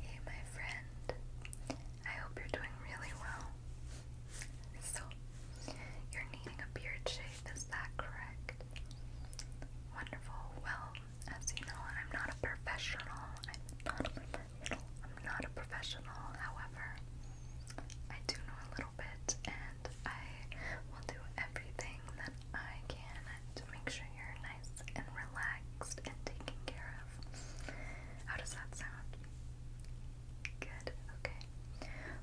Hey, my friend. I hope you're doing really well. So, you're needing a beard shave, is that correct? Wonderful. Well, as you know, I'm not a professional. I'm not a professional. I'm not a professional, however, I do know a little bit and I will do everything that I can make sure you're nice and relaxed and taken care of. How does that sound? Good, okay.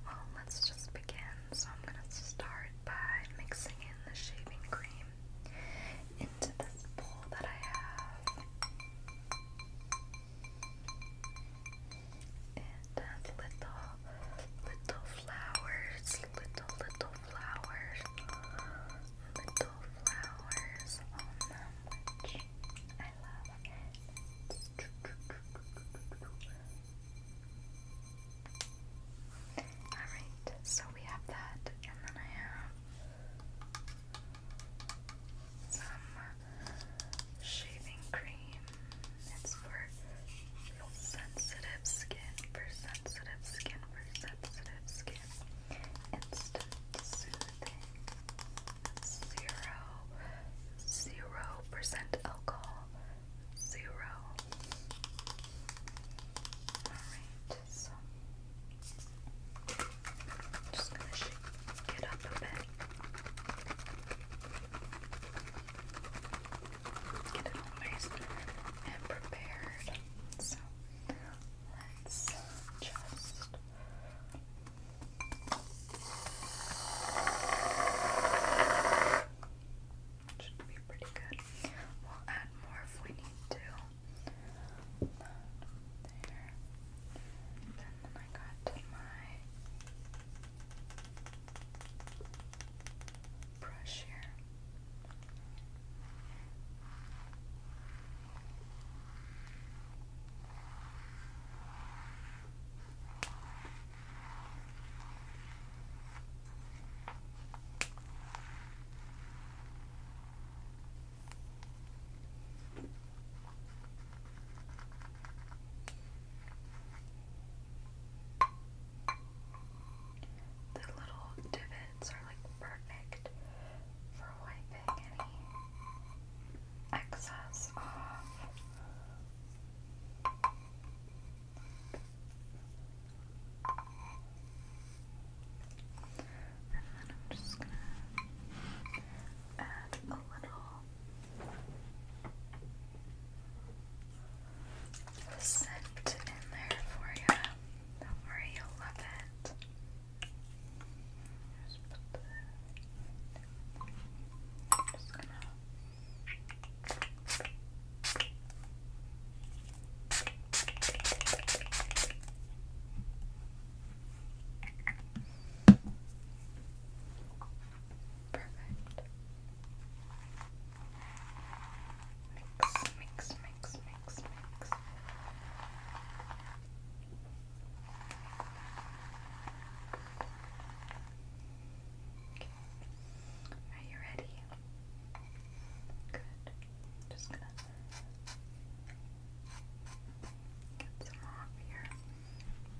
Well, let's just begin. So, I'm going to start by mixing in the shaving cream into this bowl that I have. It uh, little, little flowers, little, little flowers little flowers on them, which I love. Alright, so we have that, and then I have some shaving cream. It's for sensitive skin, for sensitive skin, for sensitive sensitive skin. Instant soothing. Zero, zero percent alcohol. Zero. Alright, so I'm just gonna shake up a bit. Get it and prepared. So Let's just should be pretty good. We'll add more if we need to. there. And then I got my brush here. The little divot methods are like perfect for wiping any excess off. And then I'm just gonna add a little scent in there for you. Don't you Just put the just gonna Perfect. Mix, mix, mix mix, Are you ready? Good. Just gonna get some off here.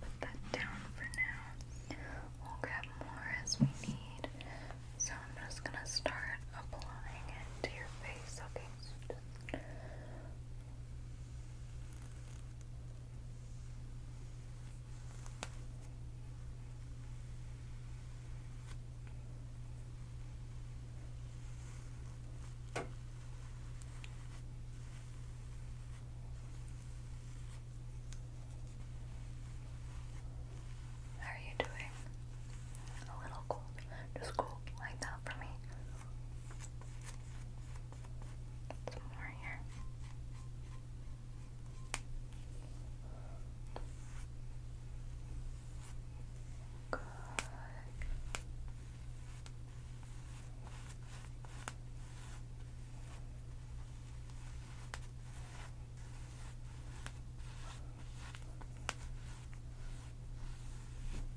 Put that down for now. We'll grab more as we need. So I'm just gonna start applying it to your face, okay? How are you doing? A little cold. Just cold like that for me. Some more here. Good.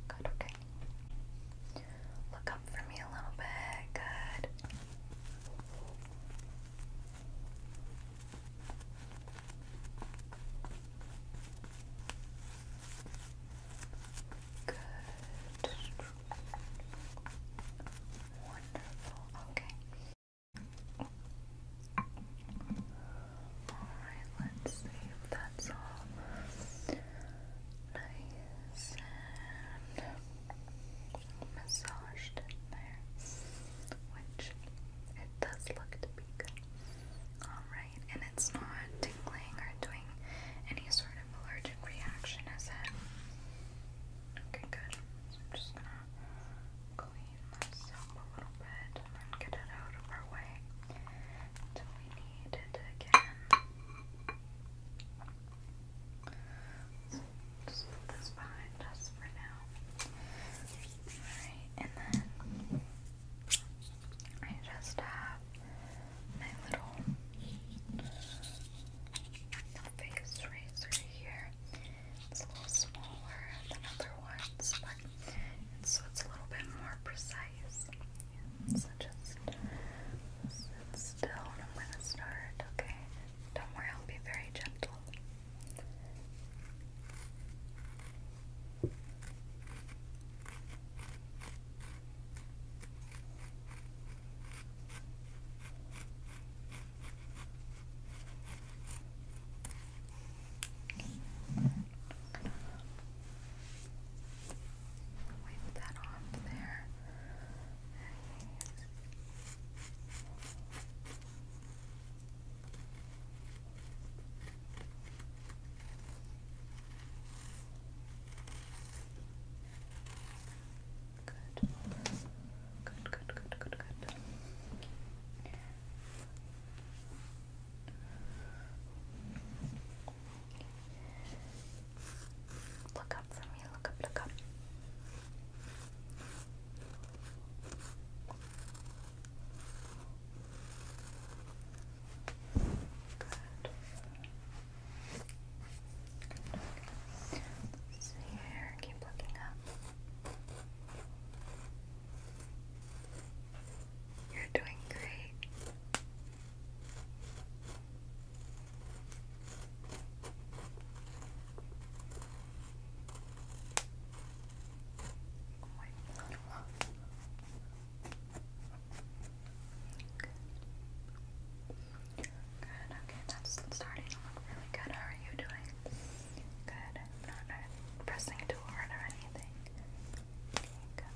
Good, okay. Look up for me a little bit. Good. Good. Wonderful. Okay. Alright, let's see if that's all nice and massaged in there, which it does look to be good. Alright, and it's not tingling or doing any sort of allergic reaction, is it? Okay, good. So I'm just gonna clean this up a little bit and get it out of our way until we need it again. just put this behind us for now. Alright, and then I just have my little face eraser here. It's a little smaller than other ones, but and so it's a little bit more precise. Yeah, so just sit still and I'm gonna start, okay? Don't worry, I'll be very gentle. Okay. Wipe that off there. Good. Good, good, good, good, good. Look up for me, look up, look up. Good. Good. Let's see here, keep looking up. You're doing great. Good, okay, that's starting to look really good. How are you doing? Good. not pressing too hard or anything. good. Good.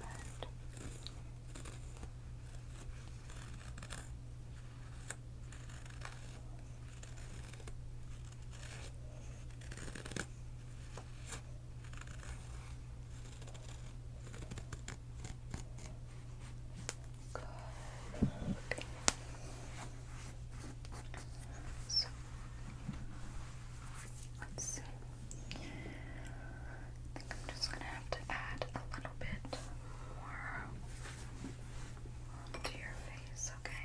So Let's see. I think I'm just gonna have to add a little bit more to your face, okay?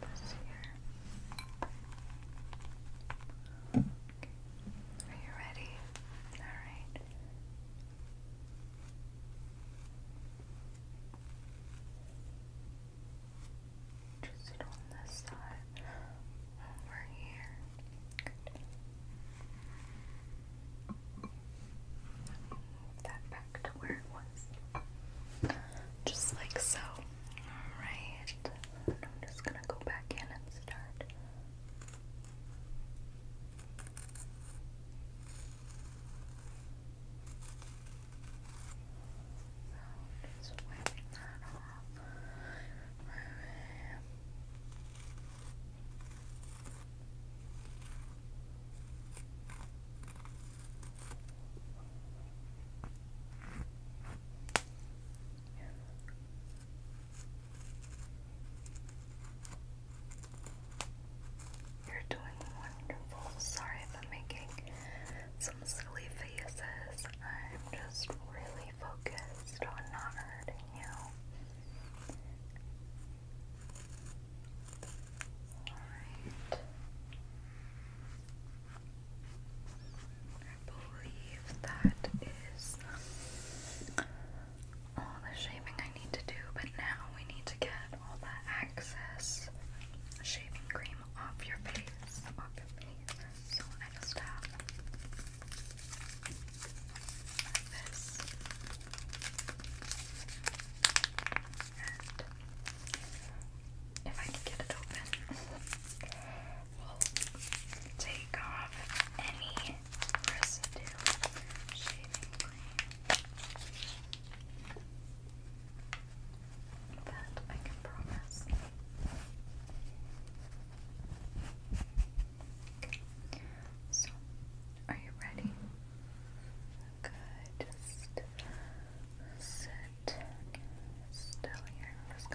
This here. Are you ready? Alright. Just sit on this side over here. Move that back to where it was. Just like so. Alright. I'm just gonna go back in and start just wiping that off. Okay. You're doing wonderful. Sorry if making some silly faces. I'm just really focused on not hurting you. Alright. I believe that is all the shaping I need to do, but now we need to get all that excess shaving cream off your face. So I just have this. And if I can get it open, we'll take off any residue I can promise. So, are you ready? Good. Just sit still here. I'm just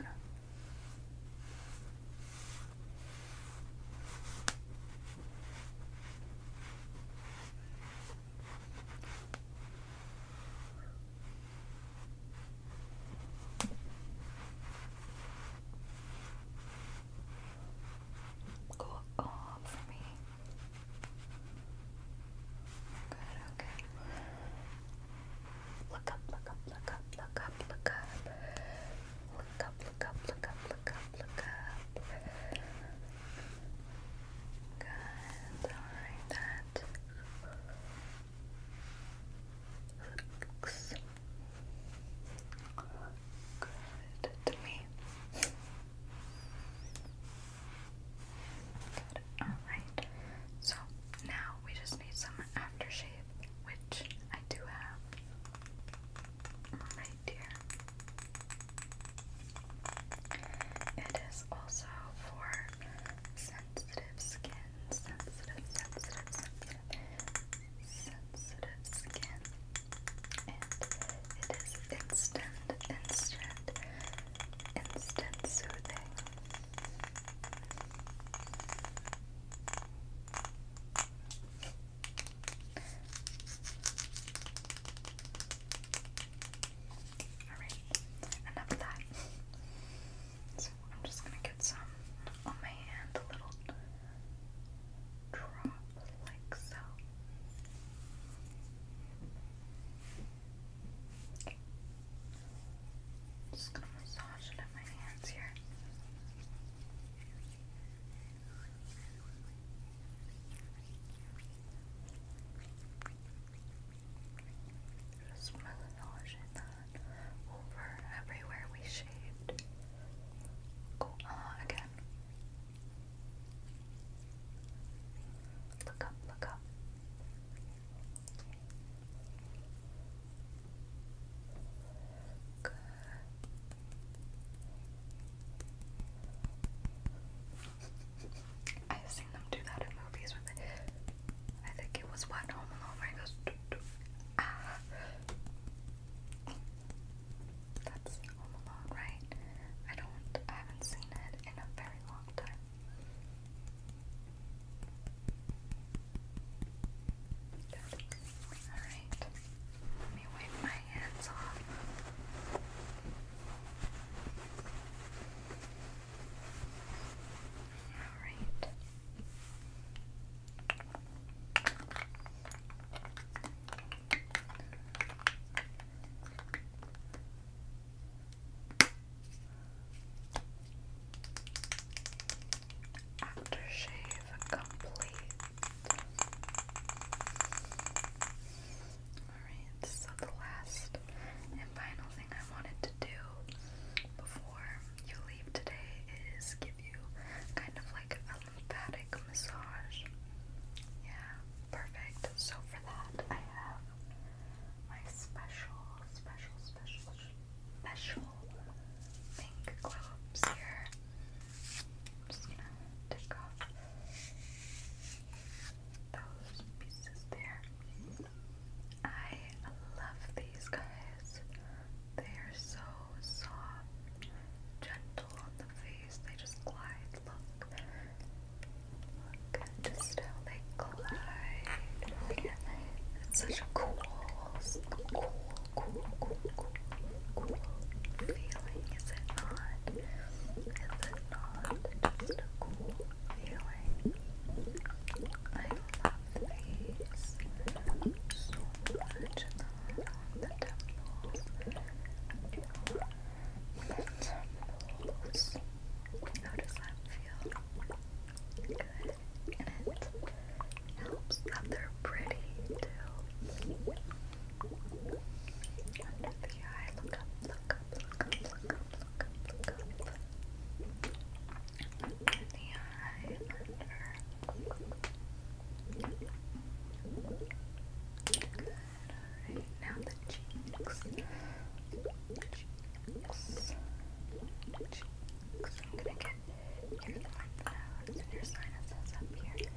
Go all oh, for me. Good, okay. Look up, look up, look up, look up, look up. Look up, Look up, look up, look up, look up. Good, alright, that looks good to me. Good, alright. So now we just need some aftershave, which I do have right here. It is also for sensitive skin, sensitive, sensitive, sensitive, sensitive skin. And it is instant, instant, instant soothing. Alright, enough of that. so I'm just gonna get some on my hand, a little drop like so. Just gonna massage it in my hands here. Just that over everywhere we shaved. Go again. Look up, look up. Good. I've seen them do that in movies I think it was what Home goes ah. That's Home right? I don't I haven't seen it in a very long time. Alright. Let me wipe my hands off. Alright. Aftershave complete. Alright, so the last and final thing I wanted to do before you leave today is give you kind of like a lymphatic massage. Yeah, perfect. So for that, I have my special, special, special, special pink gloves here. I'm just gonna take off those pieces there. I love these guys. They are so soft, gentle on the face. They just glide. Look, look just how they glide. It's such a cool, cool cool, cool, cool, cool feeling? Is it not? Is it not just a cool feeling? I love these so much on the temples. The temples. How does that feel? Good. And it helps that they're pretty too. Under the eye, look up, look up, look up, look up, look up, look up. Under the eye, under. alright, now the cheeks. Cheeks. Cheeks. I'm gonna get your lymph nodes and your sinuses up here.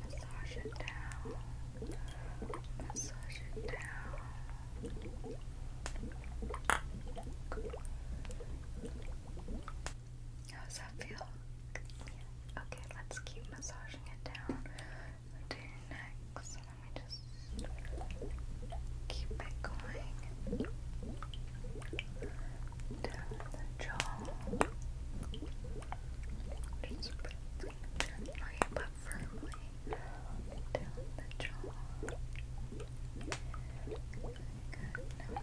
Massage it down. Massage it down. How does that feel? Yeah. Okay, let's keep massaging it down to your neck. So let me just keep it going down the jaw. It's pretty gently but firmly down the jaw. down,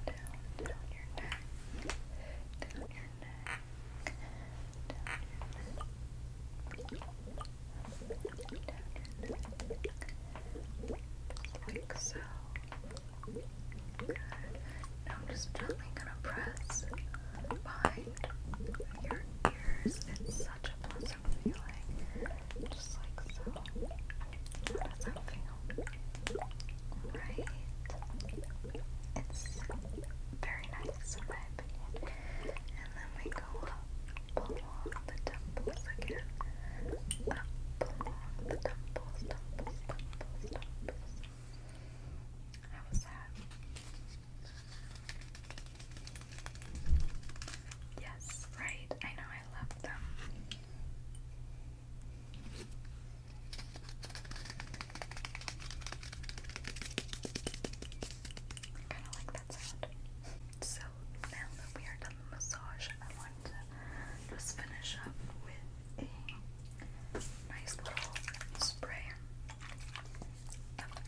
down Down your neck. Down your neck. Down Like so. Good. Now I'm just gently gonna press behind your ears. It's such a pleasant feeling. Just like so. How does that feel? Right? It's very nice in my opinion. And then we go up along the temples again. Up along the temples, temples, temples, temples. How was that? Yes, right. I know I love them. I kind of like that sound. So now that we are done the massage, I want to just finish up with a nice little spray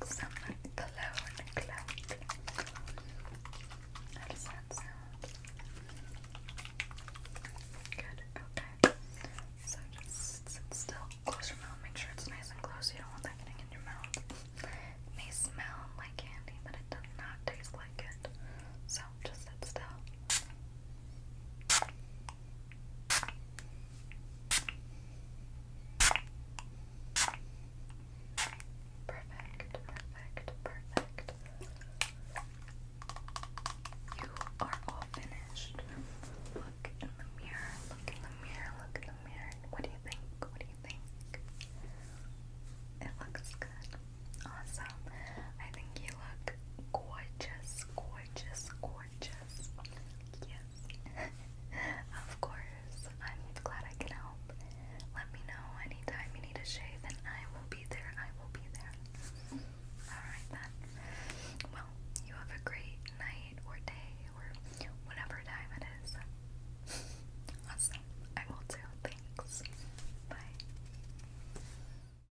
some cologne clout. How does that sound? Good, okay. So just still, close mouth, make sure it's nice and close. You don't want that in your mouth. may smell like candy, but it does not taste like it. So just sit still. Perfect, perfect, perfect. You are all finished. Look in the mirror, look in the mirror, look in the mirror. What do you think? What do you think? It looks good. Awesome. I think you look gorgeous, gorgeous, gorgeous. Yes. of course. I'm glad I can help. Let me know anytime you need a shave and I will be there. I will be there. Alright then. Well, you have a great night or day or whatever time it is. Awesome. I will too. Thanks. Bye.